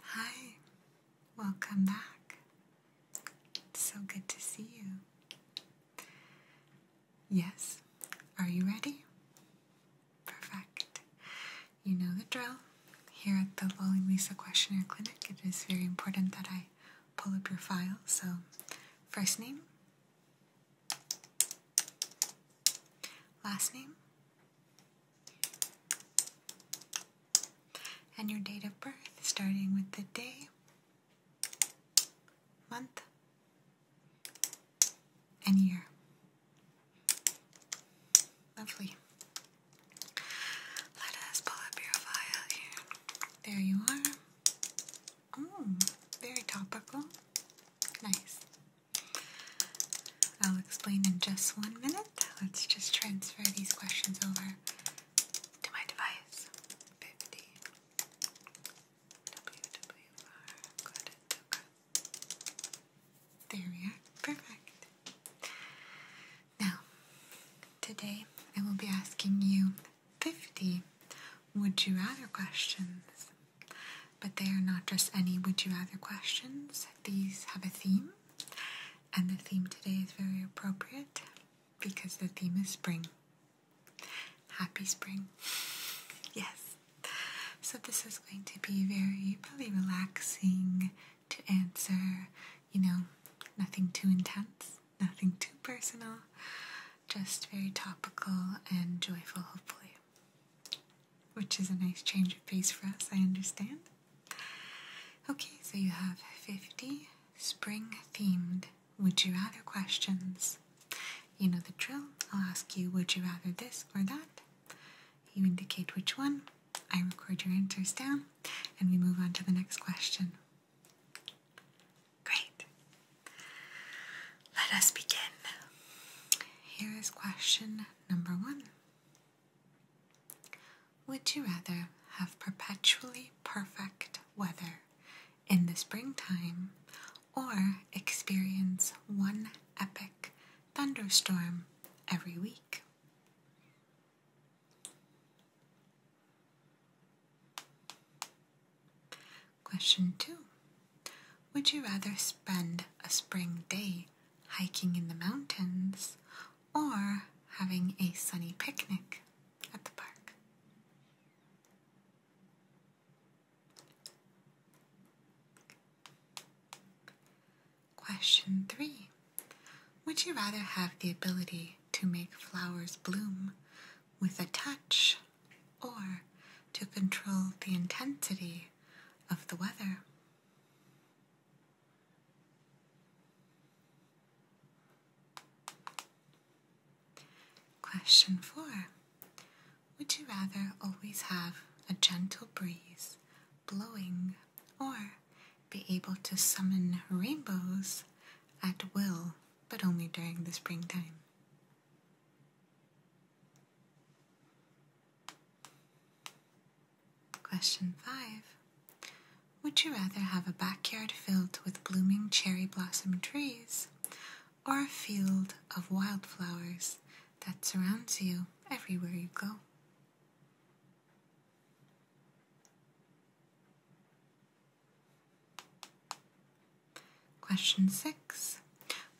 Hi, welcome back. so good to see you. Yes, are you ready? Perfect. You know the drill. Here at the Lolly Lisa Questionnaire Clinic, it is very important that I pull up your file. So, first name, last name, and your date of birth, starting with the day, month, and year. Lovely. Let us pull up your file There you are. Oh, very topical. Nice. I'll explain in just one minute. Let's just transfer these questions over to my device. 50 WWR There we are. Perfect. Now, today I will be asking you 50 would you rather questions. But they are not just any would you rather questions, these have a theme. And the theme today is very appropriate because the theme is spring. Happy spring. Yes. So this is going to be very probably relaxing to answer, you know, nothing too intense, nothing too personal, just very topical and joyful hopefully. Which is a nice change of pace for us, I understand. Okay, so you have 50 spring themed would you rather questions. You know the drill. I'll ask you would you rather this or that. You indicate which one. I record your answers down and we move on to the next question. Great. Let us begin. Here is question number one. Would you rather have perpetually perfect weather in the springtime or experience one epic thunderstorm every week? Question 2. Would you rather spend a spring day hiking in the mountains, or having a sunny picnic at the park. Question 3. Would you rather have the ability to make flowers bloom with a touch or to control the intensity of the weather? Question 4. Would you rather always have a gentle breeze blowing or be able to summon rainbows at will but only during the springtime? Question 5. Would you rather have a backyard filled with blooming cherry blossom trees or a field of wildflowers that surrounds you everywhere you go? Question 6.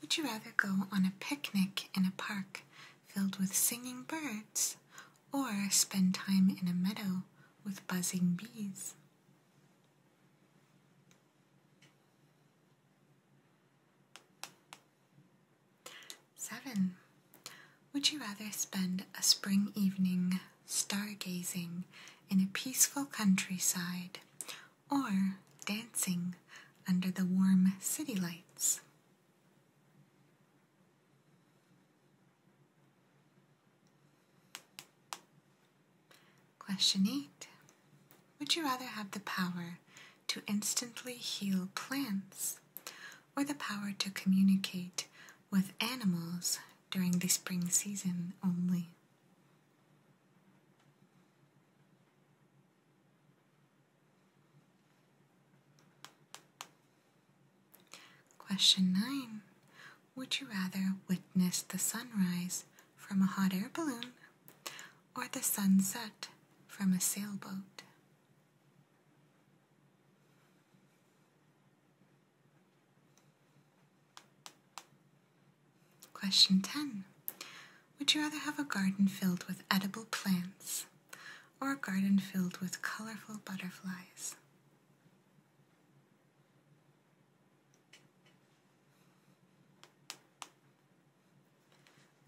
Would you rather go on a picnic in a park filled with singing birds, or spend time in a meadow with buzzing bees. Seven. Would you rather spend a spring evening stargazing in a peaceful countryside or dancing under the warm city lights? Question 8. Would you rather have the power to instantly heal plants or the power to communicate with animals during the spring season only? Question 9. Would you rather witness the sunrise from a hot air balloon or the sunset from a sailboat? Question 10. Would you rather have a garden filled with edible plants or a garden filled with colorful butterflies.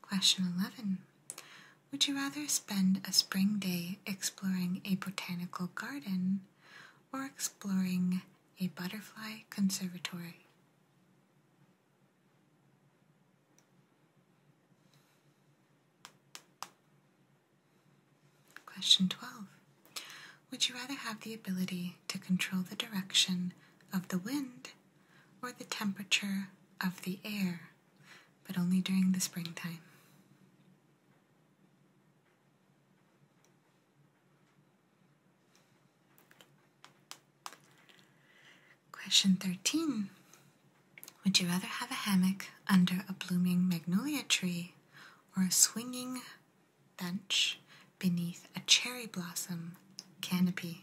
Question 11. Would you rather spend a spring day exploring a botanical garden or exploring a butterfly conservatory? Question 12. Would you rather have the ability to control the direction of the wind or the temperature of the air, but only during the springtime? Question 13 Would you rather have a hammock under a blooming magnolia tree or a swinging bench beneath a cherry blossom canopy?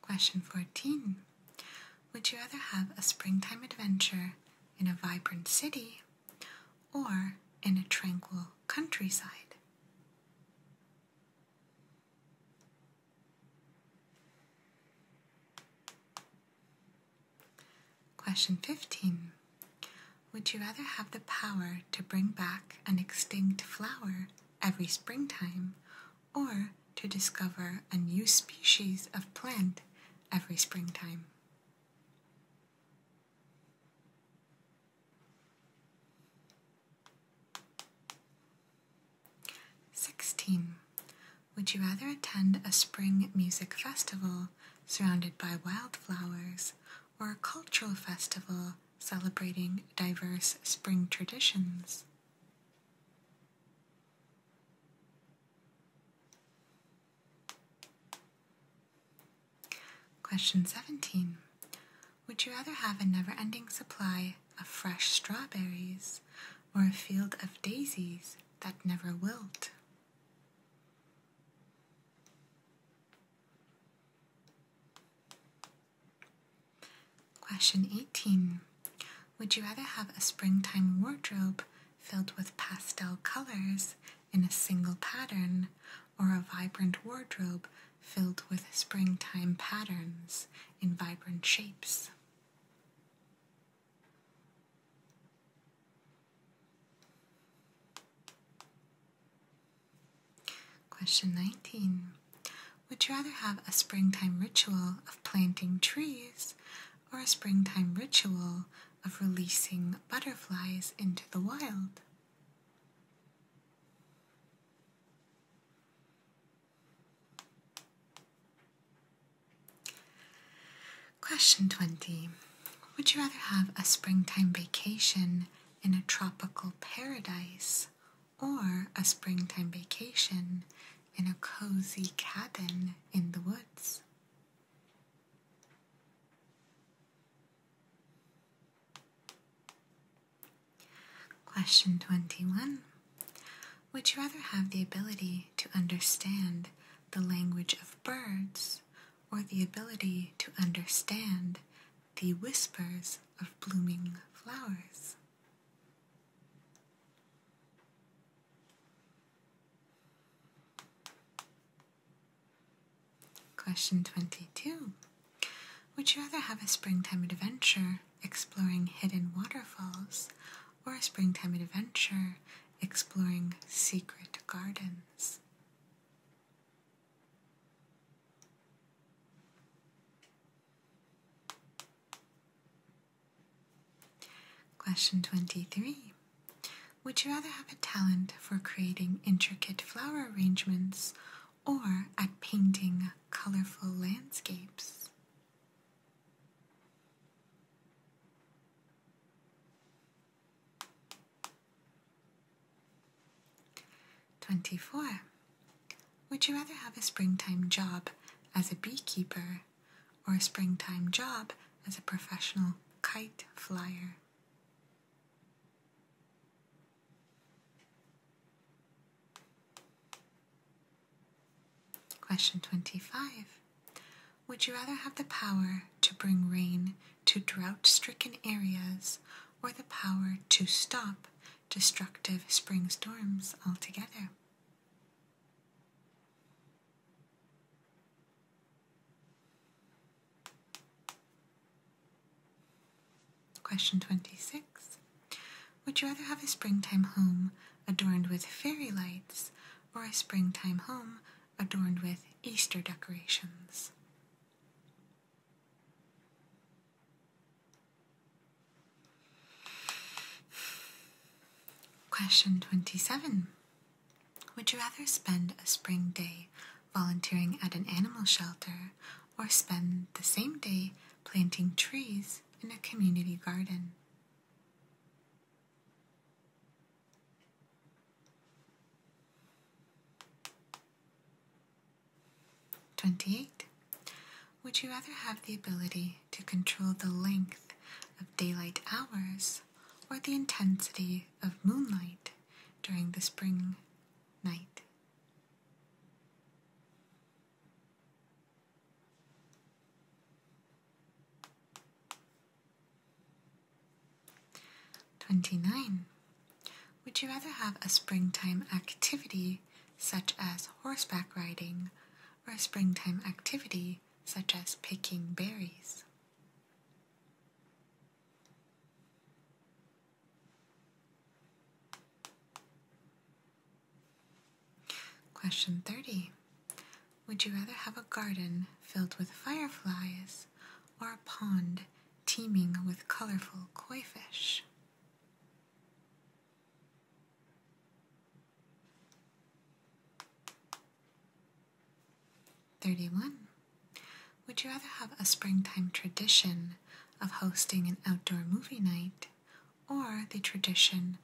Question 14 Would you rather have a springtime adventure in a vibrant city or in a tranquil countryside. Question 15. Would you rather have the power to bring back an extinct flower every springtime or to discover a new species of plant every springtime? 16. Would you rather attend a spring music festival surrounded by wildflowers or a cultural festival celebrating diverse spring traditions? Question 17. Would you rather have a never ending supply of fresh strawberries or a field of daisies that never wilt? Question 18. Would you rather have a springtime wardrobe filled with pastel colors in a single pattern, or a vibrant wardrobe filled with springtime patterns in vibrant shapes. Question 19. Would you rather have a springtime ritual of planting trees or a springtime ritual of releasing butterflies into the wild. Question 20 Would you rather have a springtime vacation in a tropical paradise or a springtime vacation in a cozy cabin in the woods? Question 21. Would you rather have the ability to understand the language of birds or the ability to understand the whispers of blooming flowers? Question 22. Would you rather have a springtime adventure exploring hidden waterfalls or a springtime adventure exploring secret gardens? Question 23. Would you rather have a talent for creating intricate flower arrangements or at painting colorful landscapes? Twenty four. Would you rather have a springtime job as a beekeeper or a springtime job as a professional kite flyer. Question 25. Would you rather have the power to bring rain to drought stricken areas or the power to stop destructive spring storms altogether? Question 26. Would you rather have a springtime home adorned with fairy lights or a springtime home adorned with Easter decorations? Question 27. Would you rather spend a spring day volunteering at an animal shelter or spend the same day planting trees in a community garden? Twenty-eight. Would you rather have the ability to control the length of daylight hours or the intensity of moonlight during the spring night. Twenty nine. Would you rather have a springtime activity such as horseback riding or a springtime activity such as picking berries? Question 30. Would you rather have a garden filled with fireflies or a pond teeming with colorful koi fish? 31. Would you rather have a springtime tradition of hosting an outdoor movie night or the tradition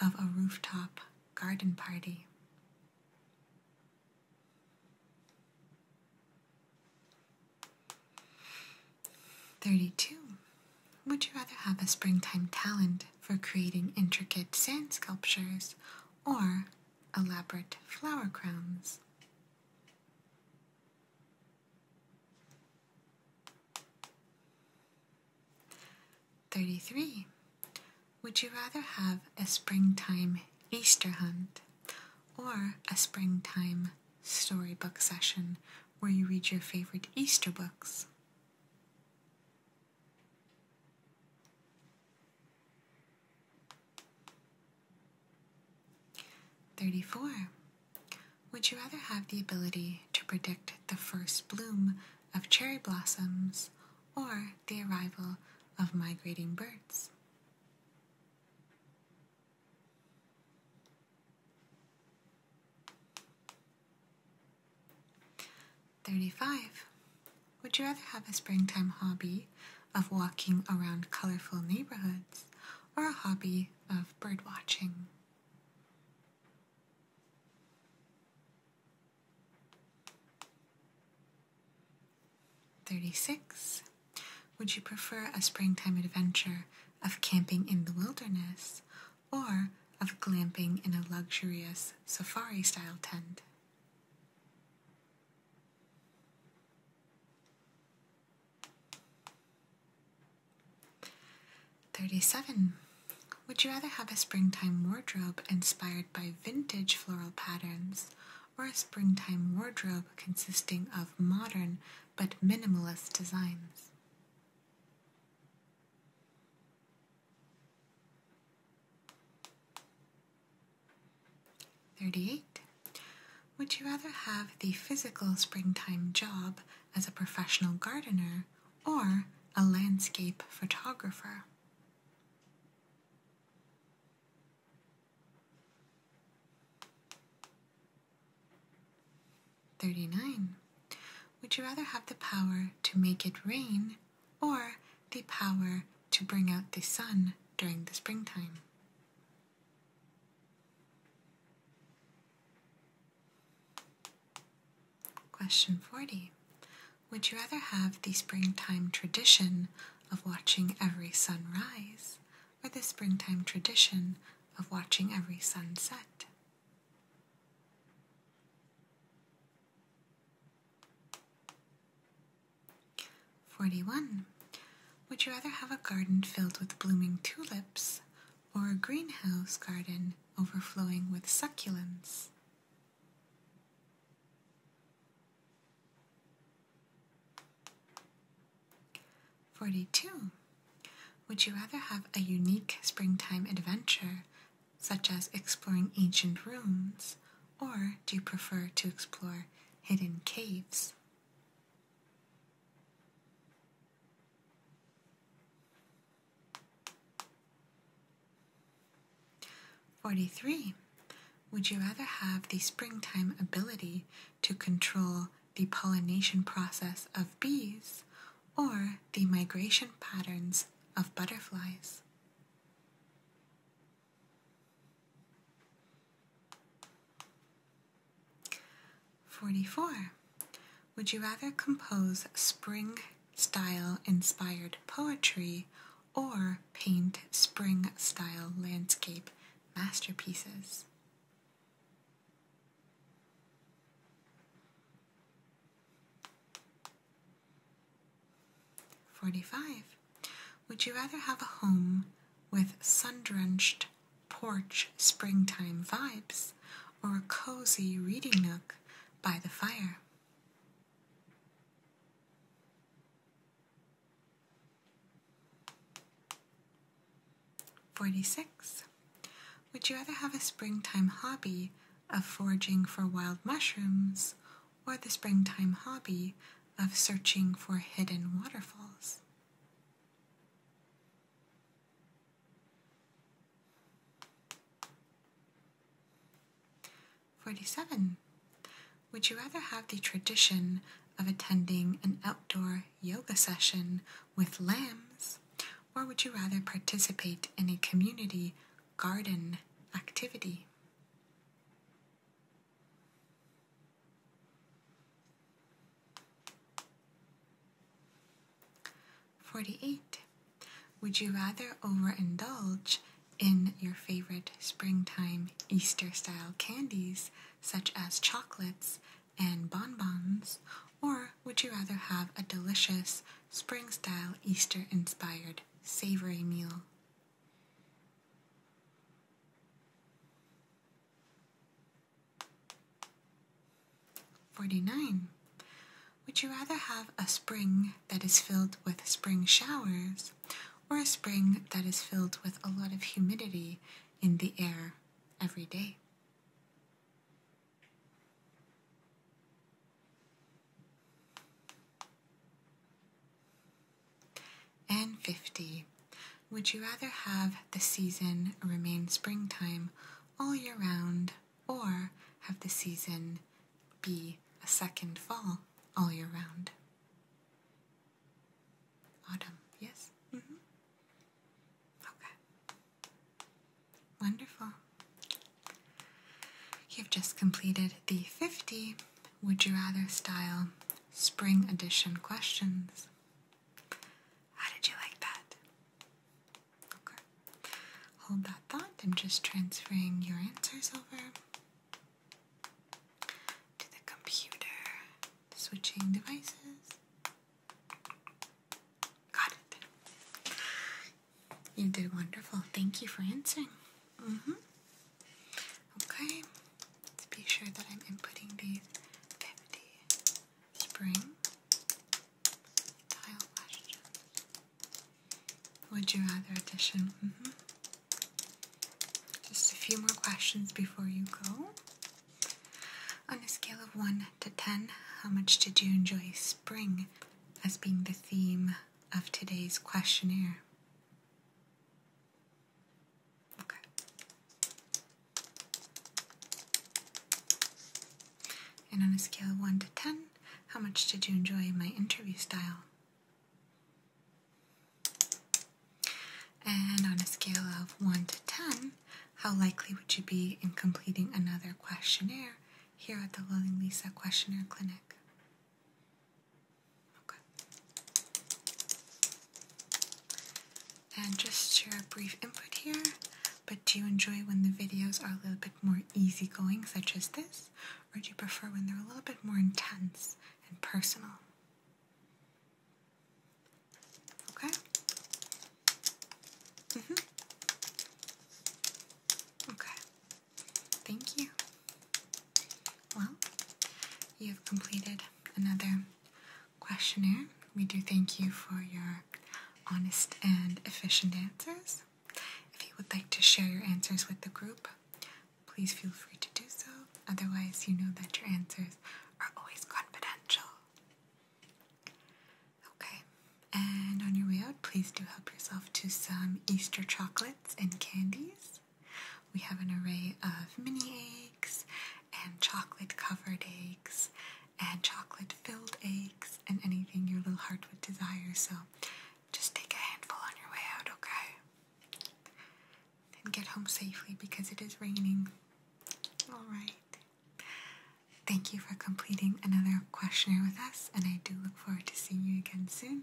of a rooftop garden party? Thirty-two. Would you rather have a springtime talent for creating intricate sand sculptures or elaborate flower crowns. Thirty-three. Would you rather have a springtime Easter hunt or a springtime storybook session where you read your favorite Easter books? 34. Would you rather have the ability to predict the first bloom of cherry blossoms or the arrival of migrating birds? 35. Would you rather have a springtime hobby of walking around colorful neighborhoods or a hobby of bird watching? Thirty-six. Would you prefer a springtime adventure of camping in the wilderness or of glamping in a luxurious safari style tent? 37. Would you rather have a springtime wardrobe inspired by vintage floral patterns or a springtime wardrobe consisting of modern but minimalist designs? 38. Would you rather have the physical springtime job as a professional gardener or a landscape photographer? Thirty-nine. Would you rather have the power to make it rain or the power to bring out the sun during the springtime. Question 40. Would you rather have the springtime tradition of watching every sunrise or the springtime tradition of watching every sunset? 41. Would you rather have a garden filled with blooming tulips or a greenhouse garden overflowing with succulents? Forty-two. Would you rather have a unique springtime adventure such as exploring ancient ruins, or do you prefer to explore hidden caves? Forty-three. Would you rather have the springtime ability to control the pollination process of bees or the migration patterns of butterflies? 44. Would you rather compose spring style inspired poetry or paint spring style landscape masterpieces? 45. Would you rather have a home with sun drenched porch springtime vibes or a cozy reading nook by the fire? Forty six. Would you rather have a springtime hobby of foraging for wild mushrooms or the springtime hobby of searching for hidden waterfalls. Forty-seven. Would you rather have the tradition of attending an outdoor yoga session with lambs, or would you rather participate in a community garden activity? Forty-eight. Would you rather overindulge in your favorite springtime Easter style candies, such as chocolates and bonbons, or would you rather have a delicious spring style, Easter inspired savory meal. Forty nine. Would you rather have a spring that is filled with spring showers or a spring that is filled with a lot of humidity in the air every day? And 50. Would you rather have the season remain springtime all year round or have the season be a second fall all year round? Autumn, yes? Mm-hmm. Okay. Wonderful. You've just completed the 50 Would You Rather Style Spring Edition questions. How did you like that? Okay. Hold that thought. I'm just transferring your answers over to the computer, switching devices. Got it. You did wonderful. Thank you for answering. Mm-hmm. Okay. Let's be sure that I'm inputting the 50 spring tile questions. Would you rather addition? Mm-hmm. Just a few more questions before you go. On a scale of 1 to 10, how much did you enjoy spring as being the theme of today's questionnaire. Okay. And on a scale of 1 to 10, how much did you enjoy my interview style? And on a scale of 1 to 10, how likely would you be in completing another questionnaire here at the Lilling Lisa Questionnaire Clinic? Okay. And just share a brief input here. But do you enjoy when the videos are a little bit more easygoing, such as this? Or do you prefer when they're a little bit more intense and personal? Okay? Mm hmm. Okay. Thank you. Well, you have completed another questionnaire. We do thank you for your honest and efficient answers. If you would like to share your answers with the group, please feel free to do so. Otherwise, you know that your answers are always confidential. Okay, and on your way out, please do help yourself to some Easter chocolate and candies. We have an array of mini eggs and chocolate covered eggs and chocolate filled eggs and anything your little heart would desire. So just take a handful on your way out, okay? And get home safely because it is raining. Alright. Thank you for completing another questionnaire with us, and I do look forward to seeing you again soon.